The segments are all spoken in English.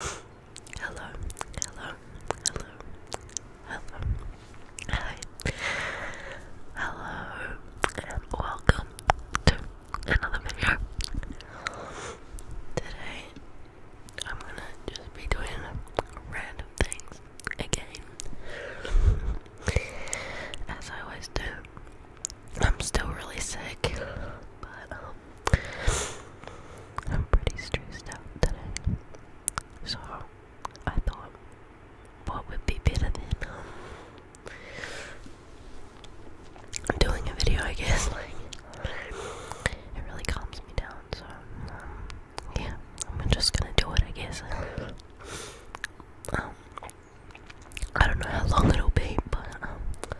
Hello, hello, hello, hello, hi, hello, and welcome to another video. Today, I'm gonna just be doing random things again, as I always do. I'm still really sick, but um, I'm pretty stressed out today. So I thought what would be better than um, doing a video I guess like it really calms me down so um, yeah I'm just gonna do it I guess um I don't know how long it'll be but um,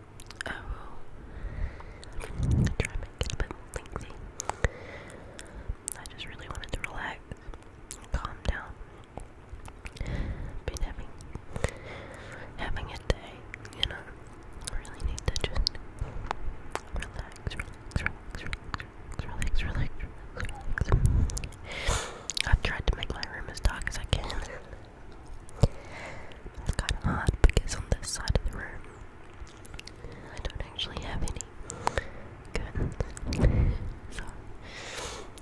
I will try to make it a bit lengthy. I just really wanted to relax, calm down. Been having having a day, you know. really need to just relax, relax, relax, relax, relax, relax, relax. I've tried to make my room as dark as I can. It's kind of hard because on this side of the room, I don't actually have any curtains, so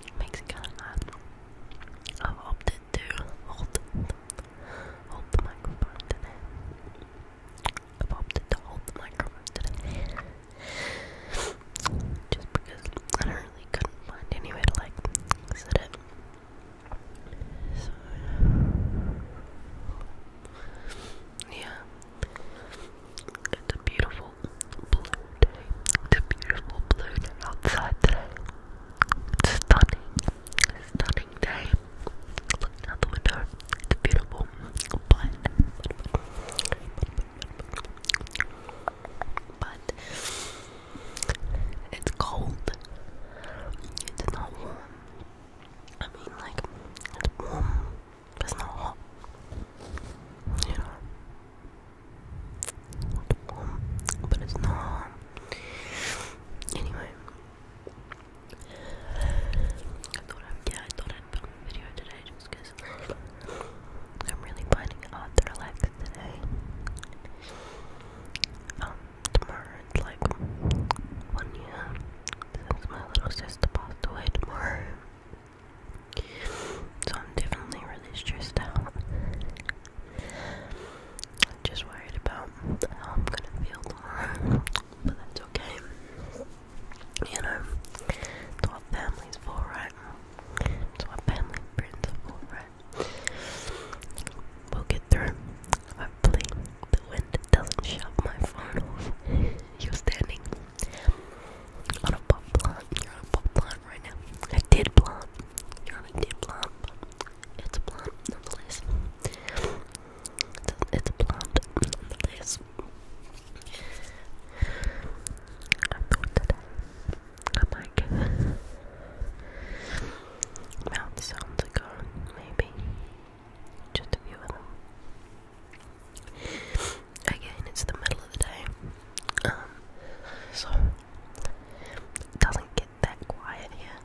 it makes it kind of hard. I've opted to hold, hold the microphone today. I've opted to hold the microphone today. Just because I really couldn't find anywhere to like sit it. So, yeah, it's a beautiful blue day. It's a beautiful blue day outside today. It's stunning, stunning day. Looking out the window, it's beautiful, but but it's cold. It's not warm. I mean, like, it's warm, but it's not hot. You know? It's warm, but it's not Anyway. yeah, I thought I'd put a video today just I'm really finding it hard to relax today. Um, tomorrow it's like one year since my little sister passed away tomorrow. So I'm definitely really stressed out. I'm just worried about how I'm gonna feel tomorrow. But that's okay. You know, it's what family's for, right? It's what family for, right? We'll get through. Hopefully, the wind doesn't shove my phone off. You're standing on a pot plant. You're on a pot plant right now. A dead plant. You're on a dead plant, it's a plant nonetheless. It's a, it's a plant nonetheless. I thought today I might give mouth sounds maybe. Just a few of them. Again, it's the middle of the day. Um, so doesn't get that quiet here.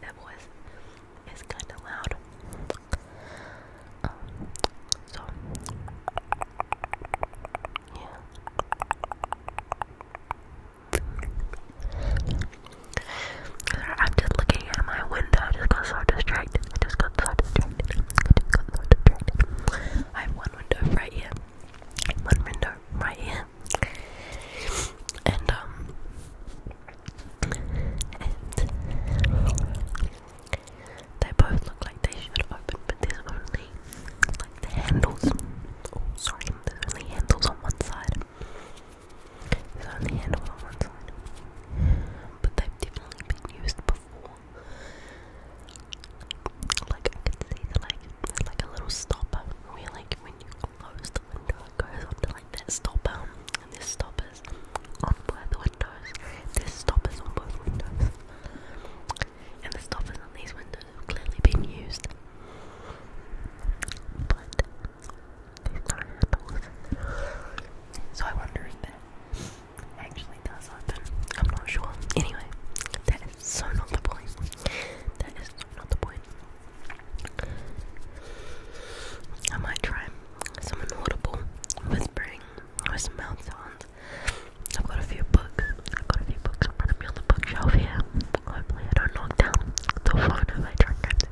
That voice is kinda loud. Um, so yeah. I'm just looking at my window. I just got so distracted. I just got so distracted. I just got so distracted. I have one window right here. One window right here. And, um, and they both look like they should open, but there's only like the handles. Oh, sorry, there's only handles on one side. There's only handles on one side, but they've definitely been used before. Like I can see the like, like a little stopper where like when you close the window, it goes up like that stopper, and there's stoppers on both windows. There's stoppers on both windows and the stoppers on these windows have clearly been used. But these don't handles. So I wonder if that actually does open. I'm not sure. Anyway, that is so not the point. That is not the point. I might try some audible whispering some mouth sounds I've got a few books. I've got a few books in front of me on the bookshelf here. Hopefully, I don't knock down the phone if I try it.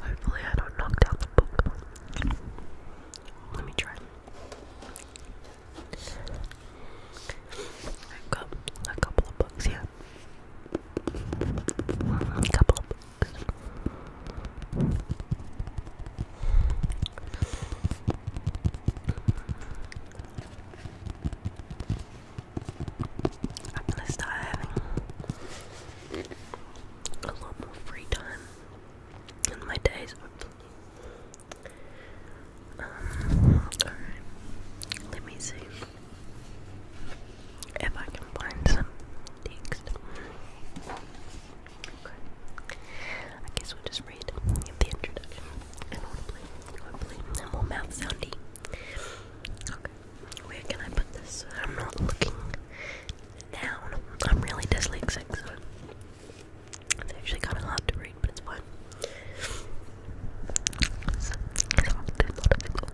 Hopefully, I don't knock down the book. Let me try. I've a couple of books here. A couple I'm gonna start having a lot more free time and my days, hopefully. Um, let me see if I can find some text. I guess we'll just read the introduction and audibly, hopefully, more mouth soundy. Okay, where can I put this? I'm not looking down. I'm really dyslexic, so it's actually kind of hard to read, but it's fine.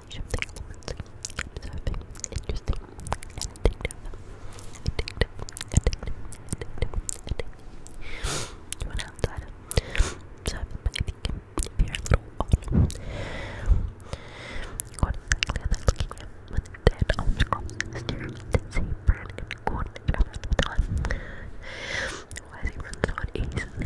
combination interesting, You went outside of but if you you're a little odd, what exactly are they looking at when they dead arms crossed, staring at the same brand and corn at he running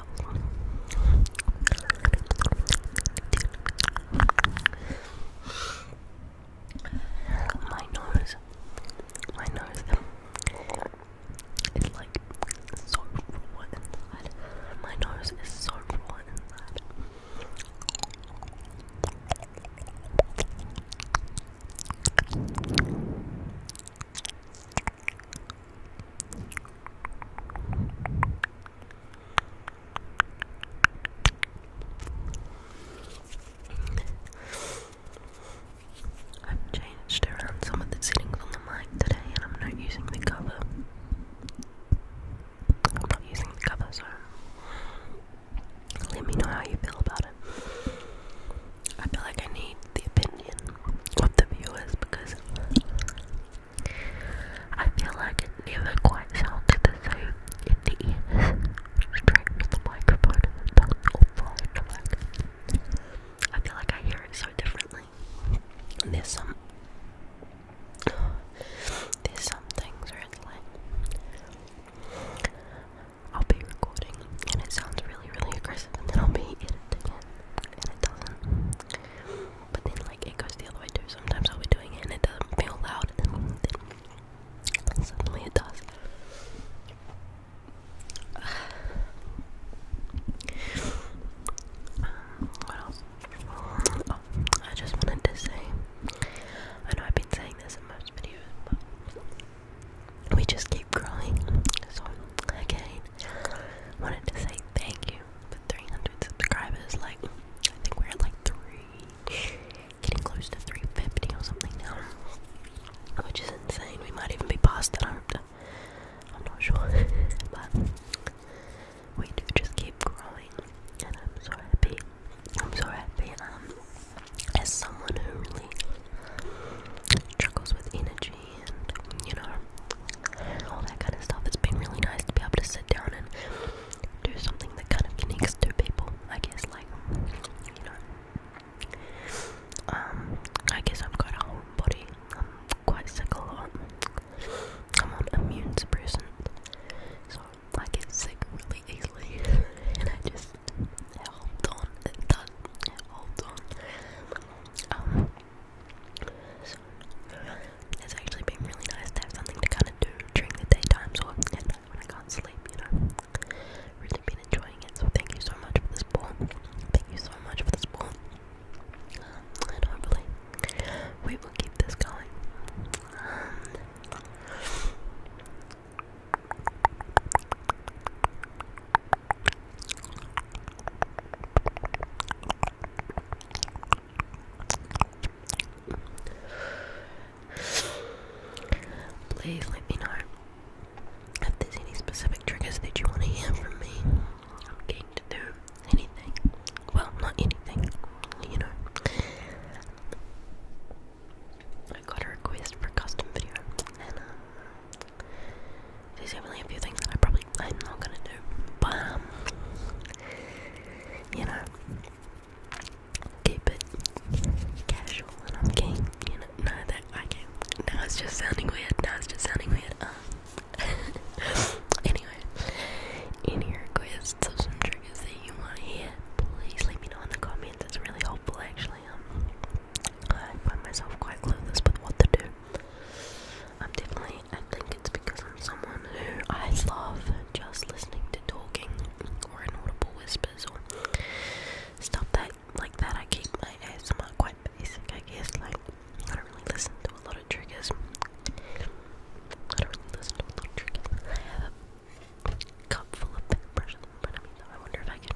well. My nose, my nose, it's like so raw inside. My nose is so raw inside. I've changed around some of the settings on the mic today and I'm not using the cover. I'm not using the cover, so let me know how you feel about it. I feel like I need the opinion of the viewers because I feel like it never quite sounds the same in the ears. Straight with the microphone the tongue all I feel like I hear it so differently. there's some there's some things where it's like I'll be recording and it sounds really really aggressive and then will be editing and it but then, like, it goes the other way too. Sometimes I'll be doing it and it doesn't feel loud, and then suddenly it does. Uh, what else? Oh, I just wanted to say I know I've been saying this in most videos, but we just keep growing. So, again, wanted to say thank you with 300 subscribers, like, I think we're at like 3, getting close to 350 or something now, which is insane, we might even be past that, I'm, I'm not sure, but we do just keep growing, and I'm so happy, I'm so happy, um, as someone who really struggles with energy and you know all that kind of stuff. It's been really nice to be able to sit down and do something that kind of connects two people. I guess, like you know, um, I guess I've got a whole body. I'm quite sick a lot. I'm on immune suppressant, so I get sick really easily, and I just hold on. It does. Hold on. Um, so, it's actually been really nice to have something to kind of do during the daytime so when I can't sleep, you know. Really been enjoying it, so thank you so much for the support. Thank you so much for the support. Um, and hopefully, we will keep this going. Um, Please let me know if there's any specific triggers that you want to hear from me. I'm keen to do anything. Well, not anything, you know. I got a request for custom video, uh, there's only a few things that I probably I'm not gonna do, but um, you know, keep it casual and I'm game. You know, know that I can. Now it's just sounding weird. Now it's just sounding weird. Um, anyway, any requests of some triggers that you want to hear, please let me know in the comments. It's really helpful, actually. Um, I find myself quite clueless with what to do. I'm definitely, I think it's because I'm someone who I love just listening to talking or inaudible whispers or stuff that, like that. I keep my ASMR quite basic, I guess. Like, I don't really listen to a lot of triggers. I don't really listen to a lot of triggers. I have a cup full of paintbrushes in front of me, though. I wonder if I can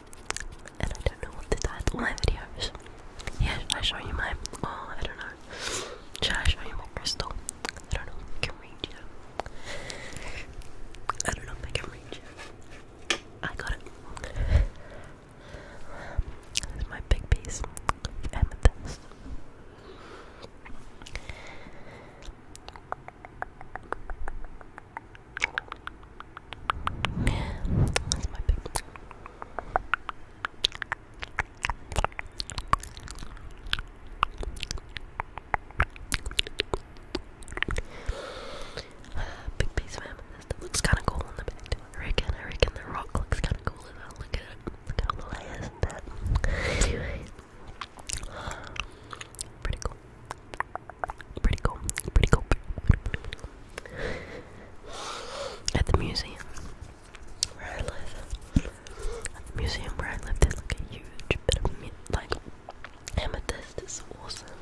and I don't know what to do title my videos. Yeah, should I show you my, oh, I don't know. Should I show you my crystal? I don't know, I can read you. I don't know if I can read you. I got it. This my big piece amethyst. That's big piece of amethyst. looks kind of cool on the back too. I reckon, I the rock looks kind of cool Look at it. Look at the layers and that. Pretty cool. Pretty cool. Pretty cool. At the museum where I live. At the museum where I live, there's like a huge bit of me like amethyst. It's awesome.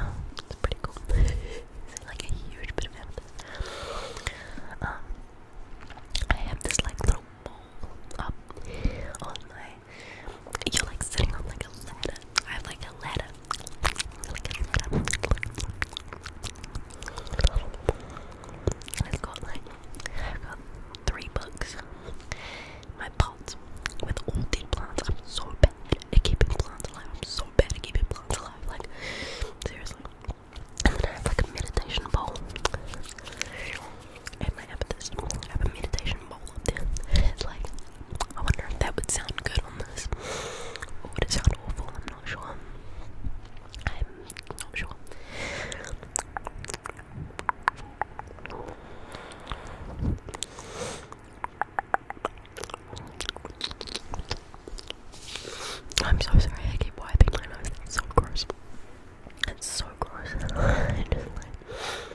Um, it's pretty cool. it's like a huge bit of amethyst. Um, I have this like little bowl up on my you're like sitting on like a ladder. I have like a ladder. I've got like three books. My pot with all dead plants. I'm so bad at keeping plants alive. I'm so bad at keeping plants alive. Like seriously. And then I have like a meditation bowl and I have this, have a meditation bowl up there. like, I wonder if that would sound good on this, would it sound awful? I'm not sure. I'm not sure. I'm so sorry, I keep wiping my nose. That's so gross. It's so gross.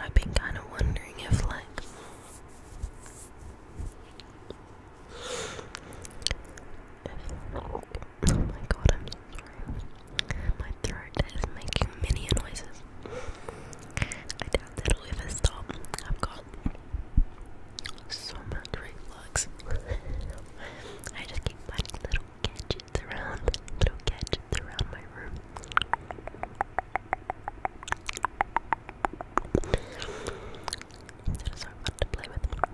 I've been kind of wondering if, like, oh my god, I'm so sorry. My throat is making many noises. I doubt that'll ever stop. I've got so much reflux. I just keep finding little gadgets around, little gadgets around my room. That is so fun to play with. little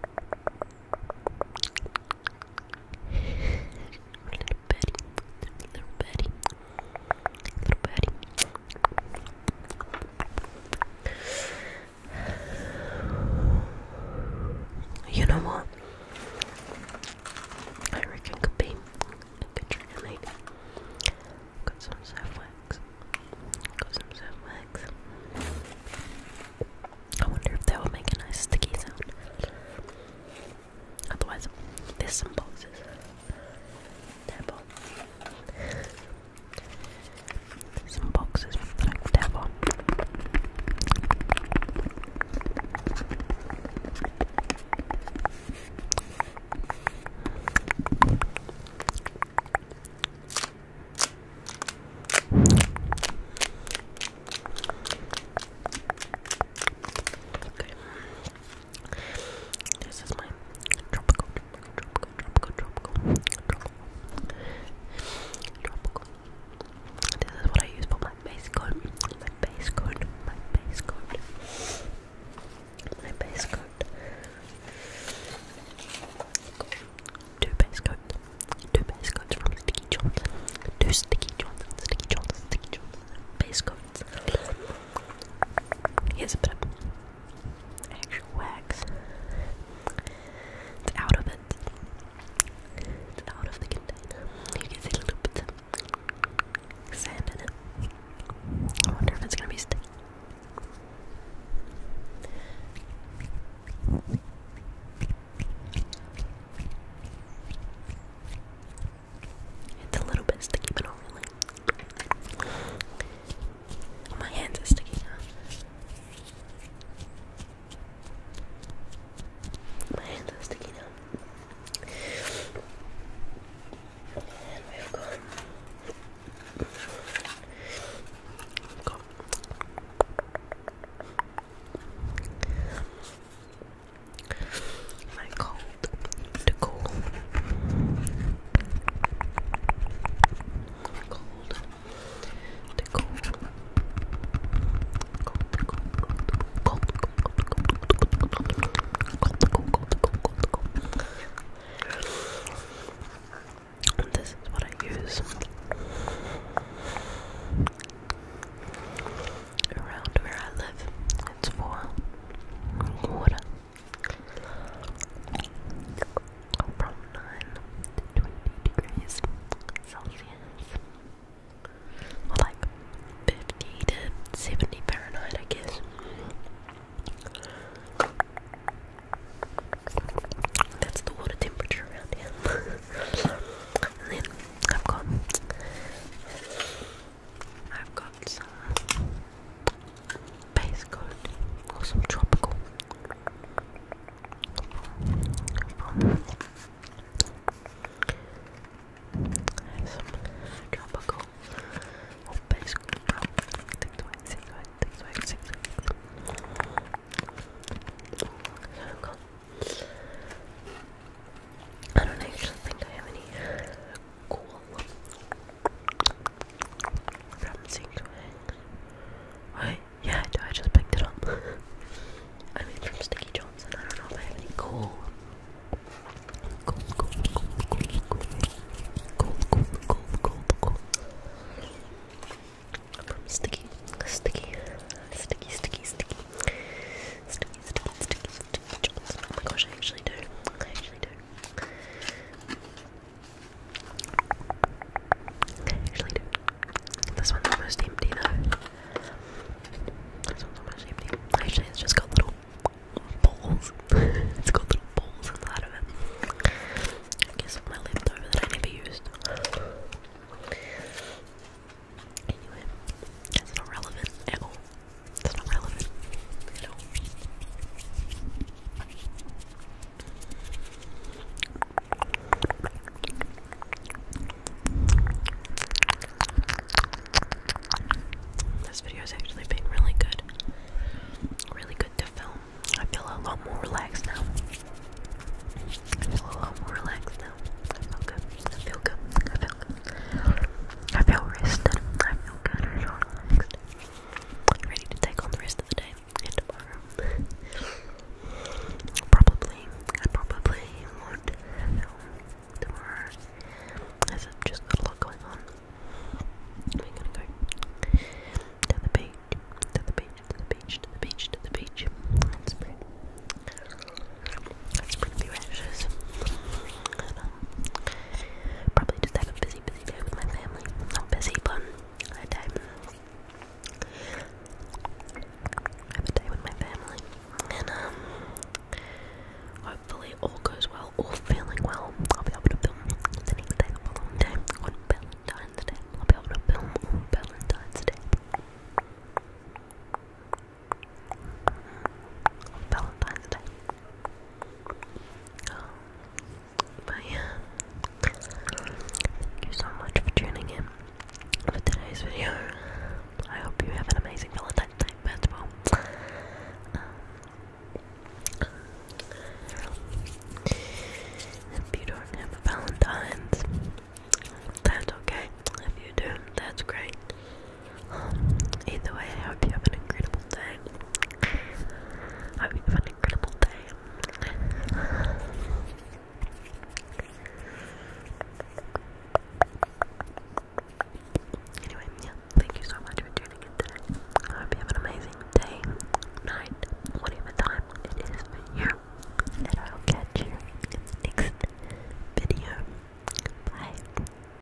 Betty, little Betty, little Betty. You know what? I reckon could be a good trigger lady. Got some surf wax. Got some soft wax. I wonder if that would make a nice sticky sound. Otherwise, there's some boxes. They're some boxes with like tab on. Okay. This is my tropical tropical, tropical, tropical, tropical. This is what I use for my base coat, my base coat, my base coat, my base coat. Two base coats, two base coats from Sticky Johnson, two Sticky Johnson, Sticky Johnson, Sticky Johnson, base coats. Here's a bit of actual wax. It's out of it. It's out of the container. You can see a little bit sand in it. I wonder if it's gonna be sticky. It's a little bit sticky, but not really my hands are sticky now. My hands are sticky now. we've got. we my cold, the cold, Cold. The cold. Cold, cold, cold, This is what I use around where I live. It's for water from 9 to 20 degrees Celsius. Or like 50 to 70 Fahrenheit, I guess. That's the water temperature around here. then I've got I've got base coat or some tropical some tropical or base coat so I don't actually think I have any cool Something to hang. Wait, yeah, do I just picked it up? I mean, from Sticky Johnson. I don't know if I have any cool. Cool, cool, cool, cool, cool. Cool, cool, cool, cool, cool. From Sticky, Sticky, Sticky, Sticky, Sticky. Sticky, Sticky, Sticky, Sticky Johnson. Oh my gosh, I actually do. I actually do. Actually, This one's almost empty though. This one's almost empty. Actually, it's just got little balls. it's got little balls inside of it. I guess my leftover that I never used. Anyway, that's not relevant at all. This video has actually been really good. Really good to film. I feel a lot more relaxed now. I feel a lot more relaxed now. I feel good. I feel good. I feel good. I feel rested. I feel good. I relaxed ready to take on the rest of the day and tomorrow. probably, I probably won't film tomorrow as I've just got a lot going on. I'm gonna go to the beach, to the beach, to the beach, to the beach, to the beach, and spread, spread a few ashes. And, um, probably just have a busy, day with my family. Not busy, but a day. have a day with my family. And, um, hopefully all goes well, all feeling well. I'll be able to film the next day, the day, Valentine's Day. I'll be able to film Valentine's Day. Valentine's Day. But yeah, thank you so much for tuning in for today's video. I hope you have an amazing Valentine's Day festival. Um, if you don't have a Valentine's, that's okay. If you do, that's great either way, I hope you have an incredible day. I hope you have an incredible day. Anyway, yeah, thank you so much for tuning in today. I hope you have an amazing day, night, whatever time it is for I'll catch you in the next video. Bye.